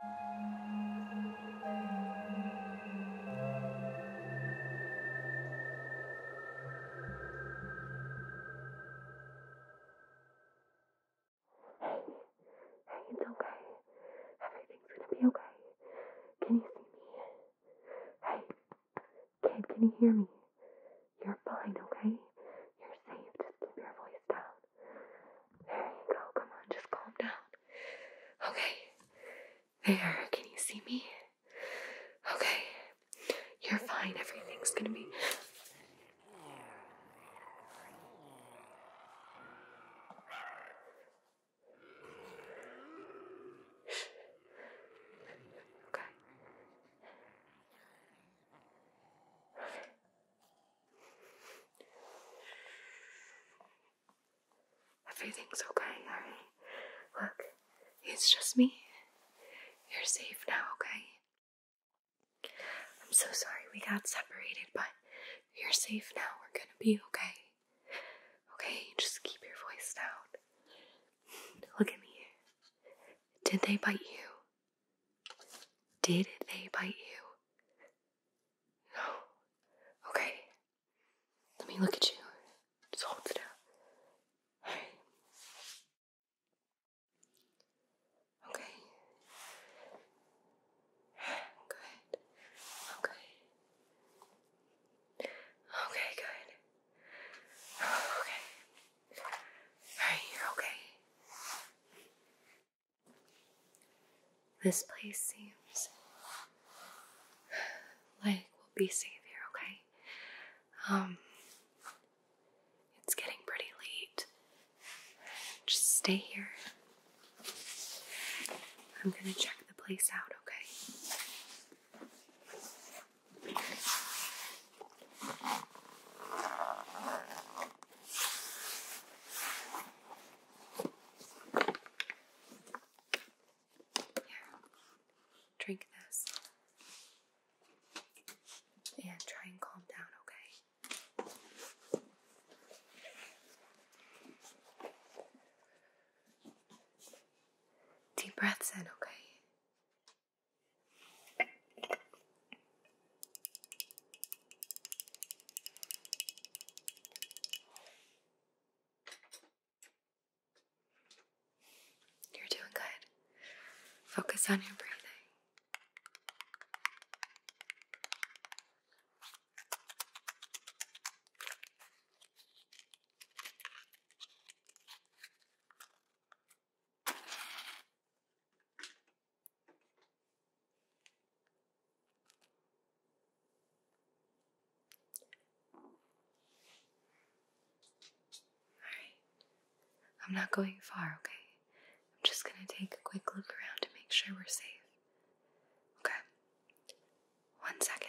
It's okay. Everything's gonna be okay. Can you see me? Hey, kid, can you hear me? You're fine, okay? You're safe. keep your voice down. There you go. Come on, just calm down. Okay. There, can you see me? Okay. You're fine. Everything's gonna be. Okay. Everything's okay, alright? Look, it's just me. You're safe now, okay? I'm so sorry we got separated, but you're safe now. We're gonna be okay. Okay, just keep your voice down. Look at me. Did they bite you? Did they bite you? No. Okay. Let me look at you. Just hold it out. Alright. Okay. Good. Okay. Okay, good. Okay. Alright, you're okay. This place seems like we'll be safe here, okay? Um, it's getting pretty late. Just stay here. I'm gonna check the place out, okay? drink this and try and calm down, okay? Deep breaths in, okay? You're doing good. Focus on your breathing. Alright, I'm not going far, okay? I'm just gonna take a quick look around to make sure we're safe. Okay, one second.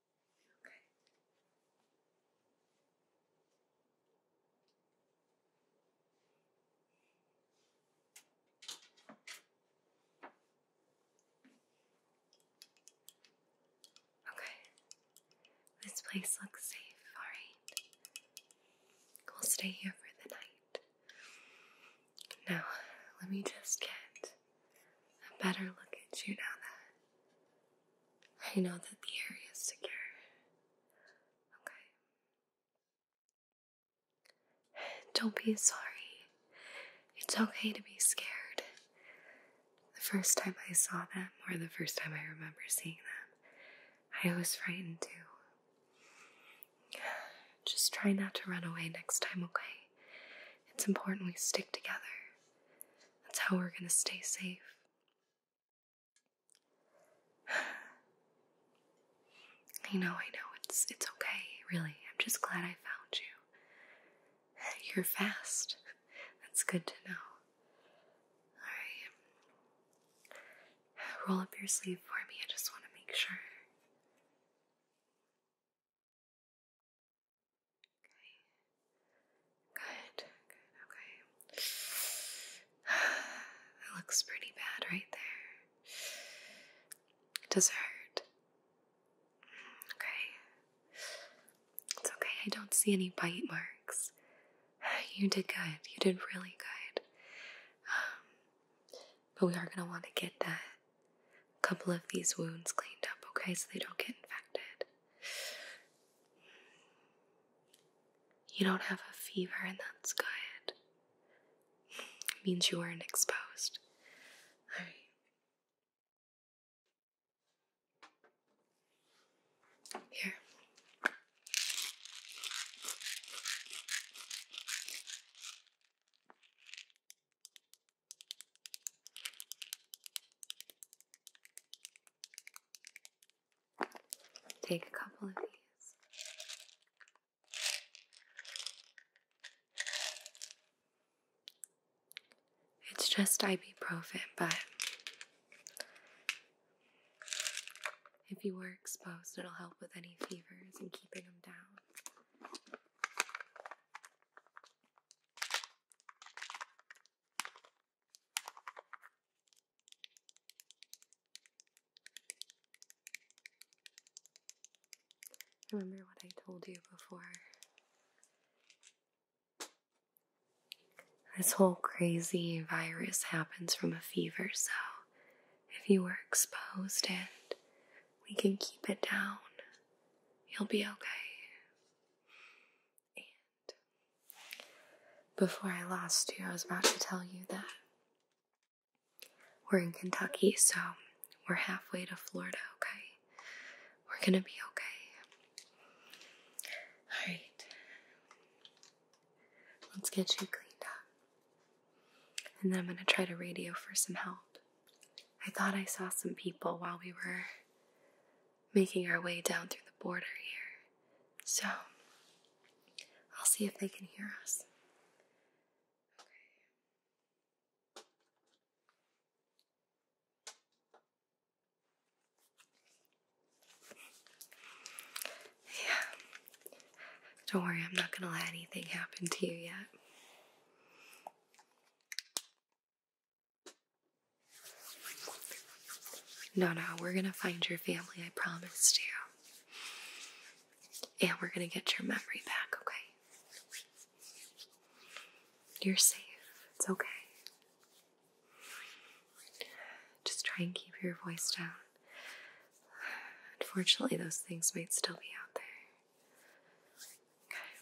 Okay. Okay. This place looks safe, alright. We'll stay here for the night. Now, let me just get a better look at you now that I know that the area is secure. Okay. Don't be sorry. It's okay to be scared. The first time I saw them, or the first time I remember seeing them, I was frightened too. Just try not to run away next time, okay? It's important we stick together. That's how we're gonna stay safe. I know, I know. It's it's okay, really. I'm just glad I found you. You're fast. That's good to know. Alright. Roll up your sleeve for me. I just want to make sure. Okay. Good, okay. That looks pretty bad right there. Does hurt? Okay. It's okay, I don't see any bite marks. You did good, you did really good. Um, but we are going to want to get that couple of these wounds cleaned up, okay, so they don't get infected. You don't have a fever, and that's good. It means you weren't exposed. Alright. Here. Take a couple of these. It's just ibuprofen, but if you were exposed, it'll help with any fevers and keeping them down. Remember what I told you before? This whole crazy virus happens from a fever, so if you were exposed and we can keep it down, you'll be okay. And before I lost you, I was about to tell you that we're in Kentucky, so we're halfway to Florida, okay? We're gonna be okay. Alright. Let's get you cleaned up. And then I'm gonna try to radio for some help. I thought I saw some people while we were making our way down through the border here. So, I'll see if they can hear us. Yeah. Don't worry, I'm not going to let anything happen to you yet. No, no, we're gonna find your family, I promised you. And we're gonna get your memory back, okay? You're safe, it's okay. Just try and keep your voice down. Unfortunately, those things might still be out there. Okay.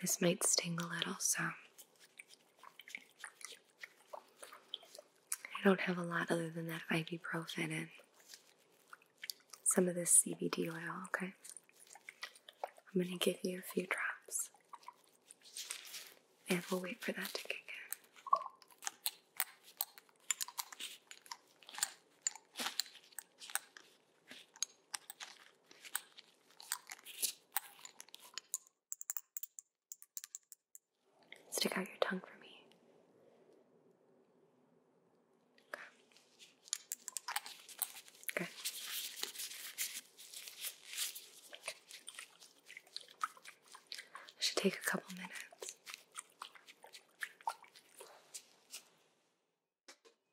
This might sting a little, so I don't have a lot other than that ibuprofen and some of this CBD oil, okay? I'm gonna give you a few drops and we'll wait for that to kick in. Stick out your tongue for me. Good. Good. should take a couple minutes.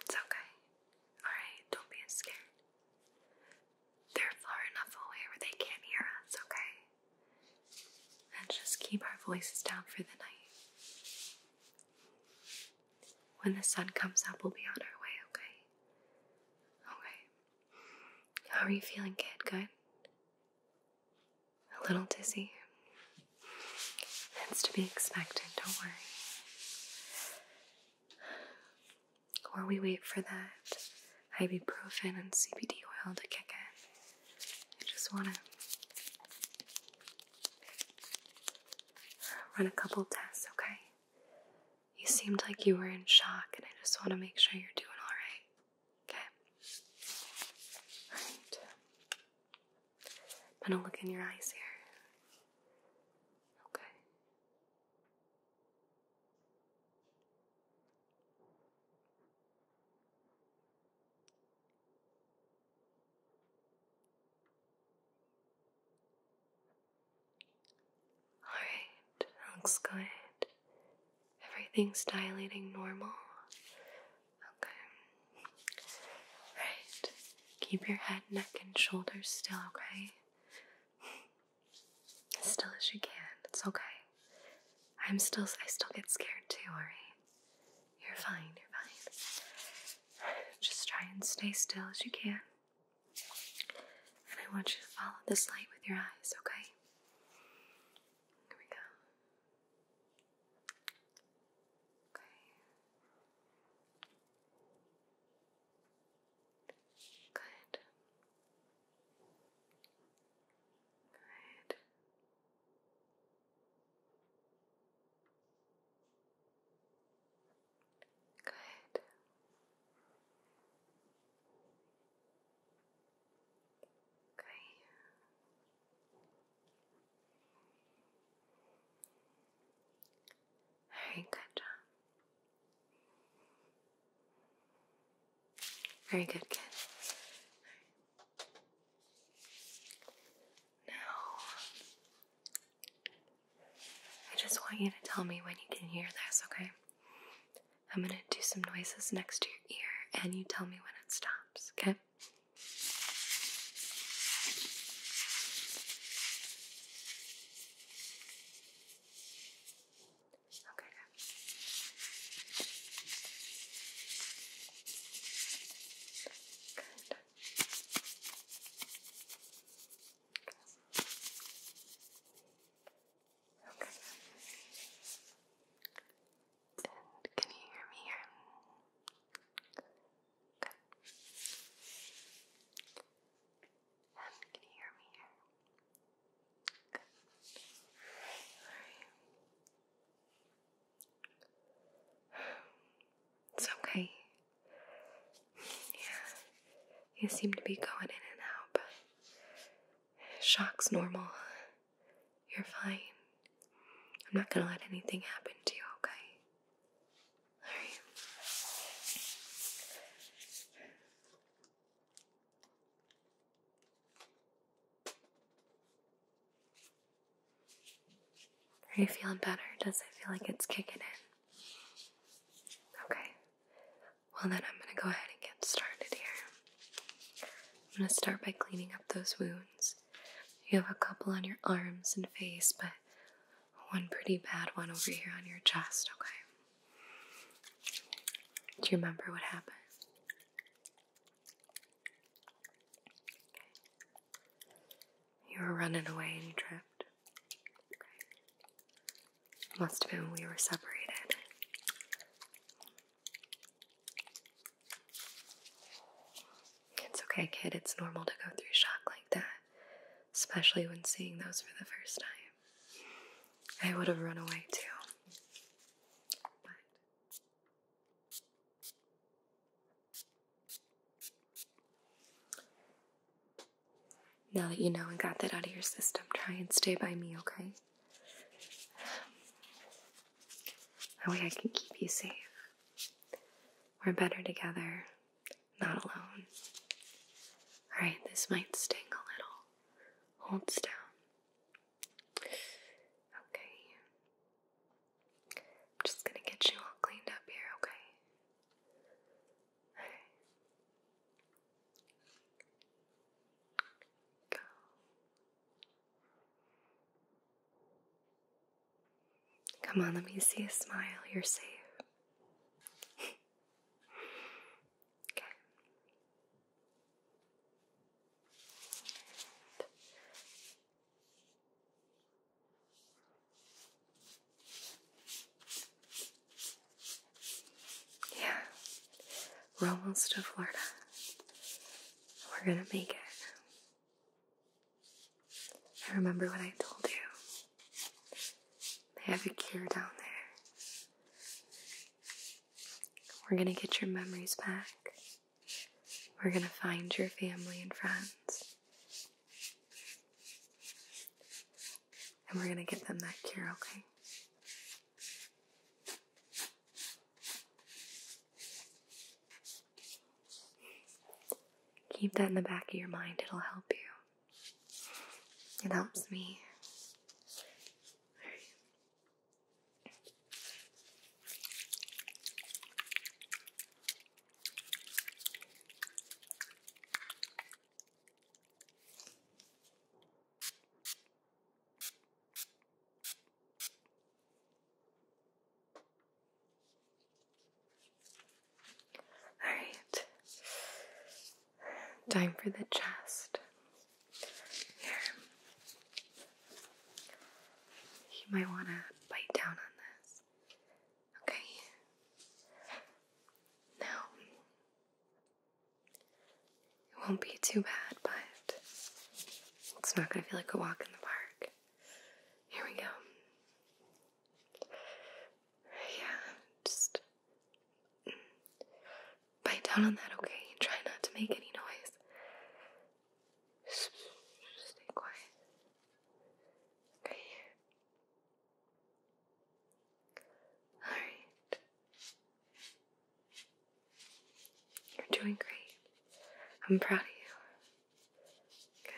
It's okay. Alright, don't be scared. They're far enough away where they can't hear us, okay? And just keep our voices down for the night. When the sun comes up, we'll be on our way, okay? Okay. How are you feeling, kid? Good? A little dizzy. That's to be expected, don't worry. While we wait for that ibuprofen and CBD oil to kick in, I just want to run a couple tests, okay? You seemed like you were in shock, and I just want to make sure you're doing all right. Okay? All right. I'm gonna look in your eyes here. Okay. Alright, looks good. Everything's dilating normal. Okay, Right. Keep your head, neck, and shoulders still, okay? As still as you can. It's okay. I'm still, I still get scared too, alright? You're fine, you're fine. Just try and stay still as you can. And I want you to follow this light with your eyes, okay? Here we go. Okay. Good. Good. Good. Great. Very good job. Very good, kid. Now, I just want you to tell me when you can hear this, okay? I'm gonna do some noises next to your ear and you tell me when it stops, okay? Okay, good. Good. Okay. okay. And can you hear me here? Um, it's okay. Yeah. You seem to be going in and out, but shock's normal. You're fine. I'm not gonna let anything happen to you, okay? Are you feeling better? Does it feel like it's kicking in? Okay. Well, then I'm going to go ahead and get started here. I'm going to start by cleaning up those wounds. You have a couple on your arms and face, but one pretty bad one over here on your chest, okay? Do you remember what happened? You were running away and you tripped. Must have been when we were separated. It's okay, kid, it's normal to go through shock like that, especially when seeing those for the first time. I would have run away too. But now that you know and got that out of your system, try and stay by me, okay? That way I can keep you safe. We're better together, not alone. Alright, this might sting a little. Hold still. Okay. I'm just gonna get you all cleaned up here, okay? Alright. Go. Come on, let me see a smile. You're safe. okay. Yeah, we're almost to Florida. We're gonna make it. I remember what I told you. They have a cure down there. We're gonna get your memories back. We're gonna find your family and friends. And we're gonna get them that cure, okay? Keep that in the back of your mind, it'll help you. It helps me. Alright. Time for the chest. Here. You might want to bite down on this. Okay. Now, it won't be too bad, but it's not going to feel like a walk in the park. Here we go. Yeah, just bite down on that, okay? Try not to make any noise. stay quiet. Okay. Alright. You're doing great. I'm proud of you. Okay.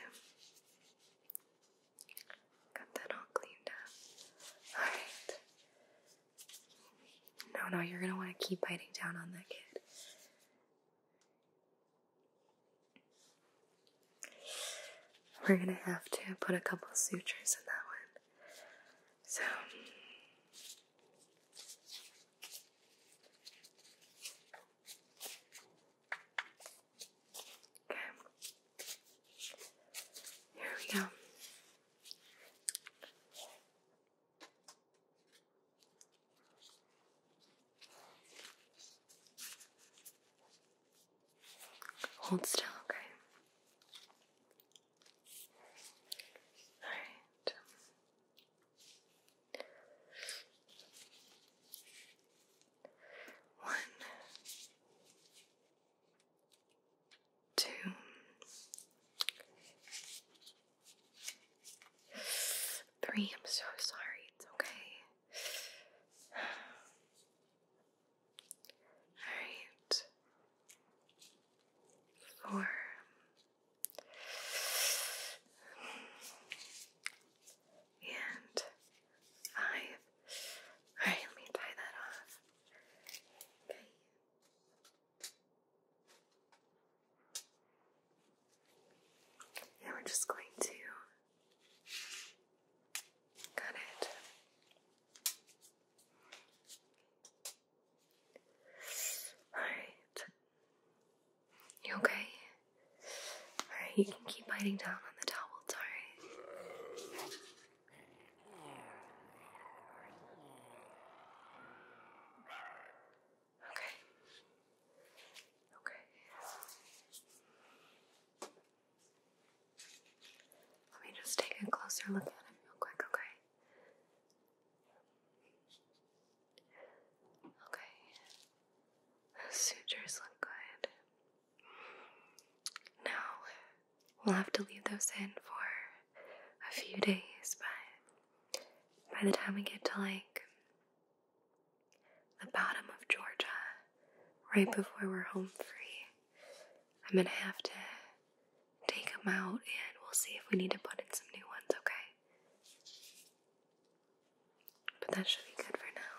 Got that all cleaned up. Alright. No, no, you're gonna want to keep biting down on that kid. We're gonna have to put a couple sutures in that one. So Okay. Here we go. Hold still, okay? Alright. One, two, three. I'm so sorry. It's okay. All right. Four. And I, Alright, let tie that off. Okay. And we're just going to cut it. Alright. You okay? Alright, you can keep biting down on the towel, alright? Okay. Okay. Let me just take a closer look at him real quick, okay? Okay, sutures look good. Now, we'll have to leave those in for a few days, but by the time we get to like the bottom of Georgia, right before we're home free, I'm gonna have to take them out and we'll see if we need to put in some new ones, okay? But that should be good for now.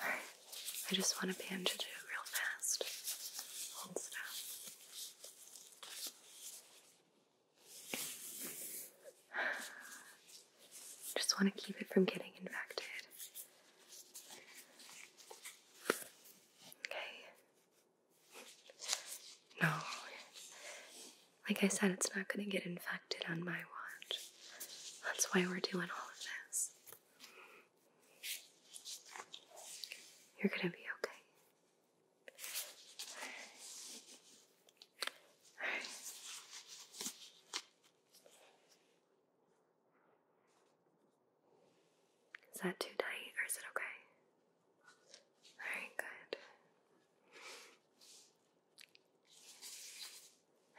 Alright, I just want to bandage it real fast. Hold still. Just want to keep it from getting infected. Okay. No. Like I said, it's not going to get infected on my watch. That's why we're doing all of this. You're going to be okay. Is that too tight or is it okay? Alright, good.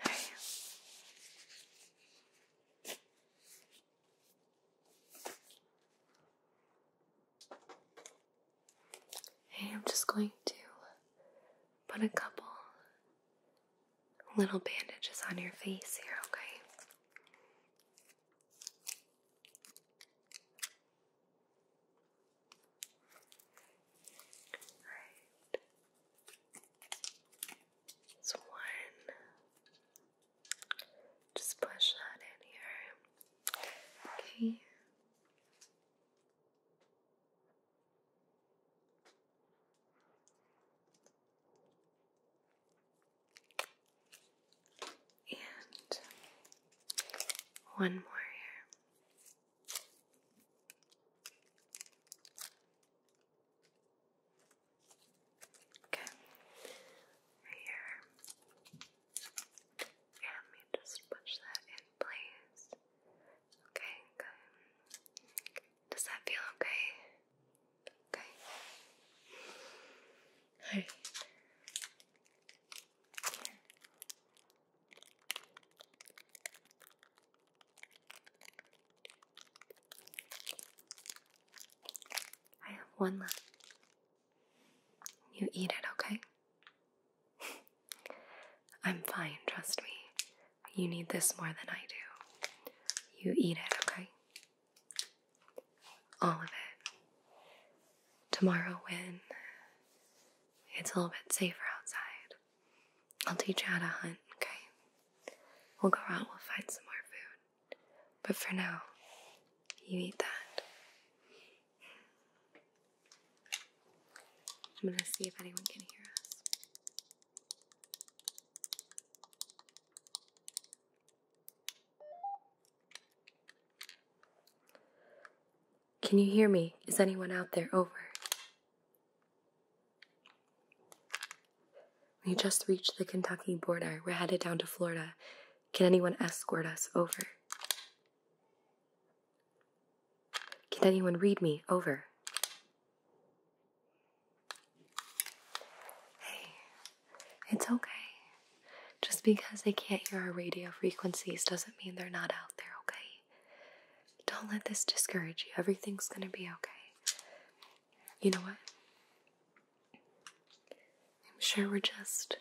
Alright. Hey, I'm just going to put a couple little bandages on your face here, okay? Alright. So one. Just push that in here. Okay. And one more here. Okay, here. And let me just push that in place. Okay, Does that feel okay? Okay. Alright. I have one left. You eat it, okay? I'm fine, trust me. You need this more than I do. You eat it, okay? All of it. Tomorrow, when it's a little bit safer outside, I'll teach you how to hunt, okay? We'll go out, we'll find some more food. But for now, you eat that. I'm going to see if anyone can hear us. Can you hear me? Is anyone out there? Over. We just reached the Kentucky border. We're headed down to Florida. Can anyone escort us over? Can anyone read me? Over. Hey, it's okay. Just because they can't hear our radio frequencies doesn't mean they're not out there, okay? Don't let this discourage you. Everything's gonna be okay. You know what? I'm sure we're just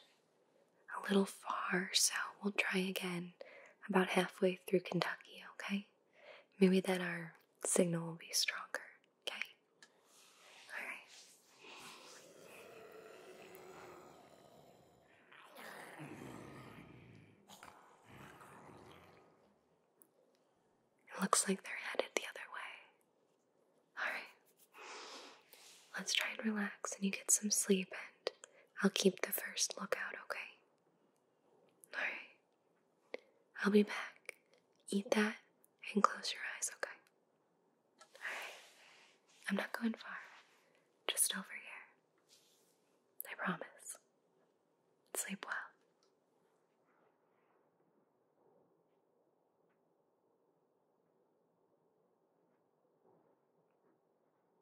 a little far, so we'll try again about halfway through Kentucky, okay? Maybe then our signal will be stronger, okay? Alright. It looks like they're headed the other way. Alright. Let's try and relax and you get some sleep and I'll keep the first lookout, okay? Alright. I'll be back. Eat that and close your eyes, okay? Alright. I'm not going far. Just over here. I promise. Sleep well.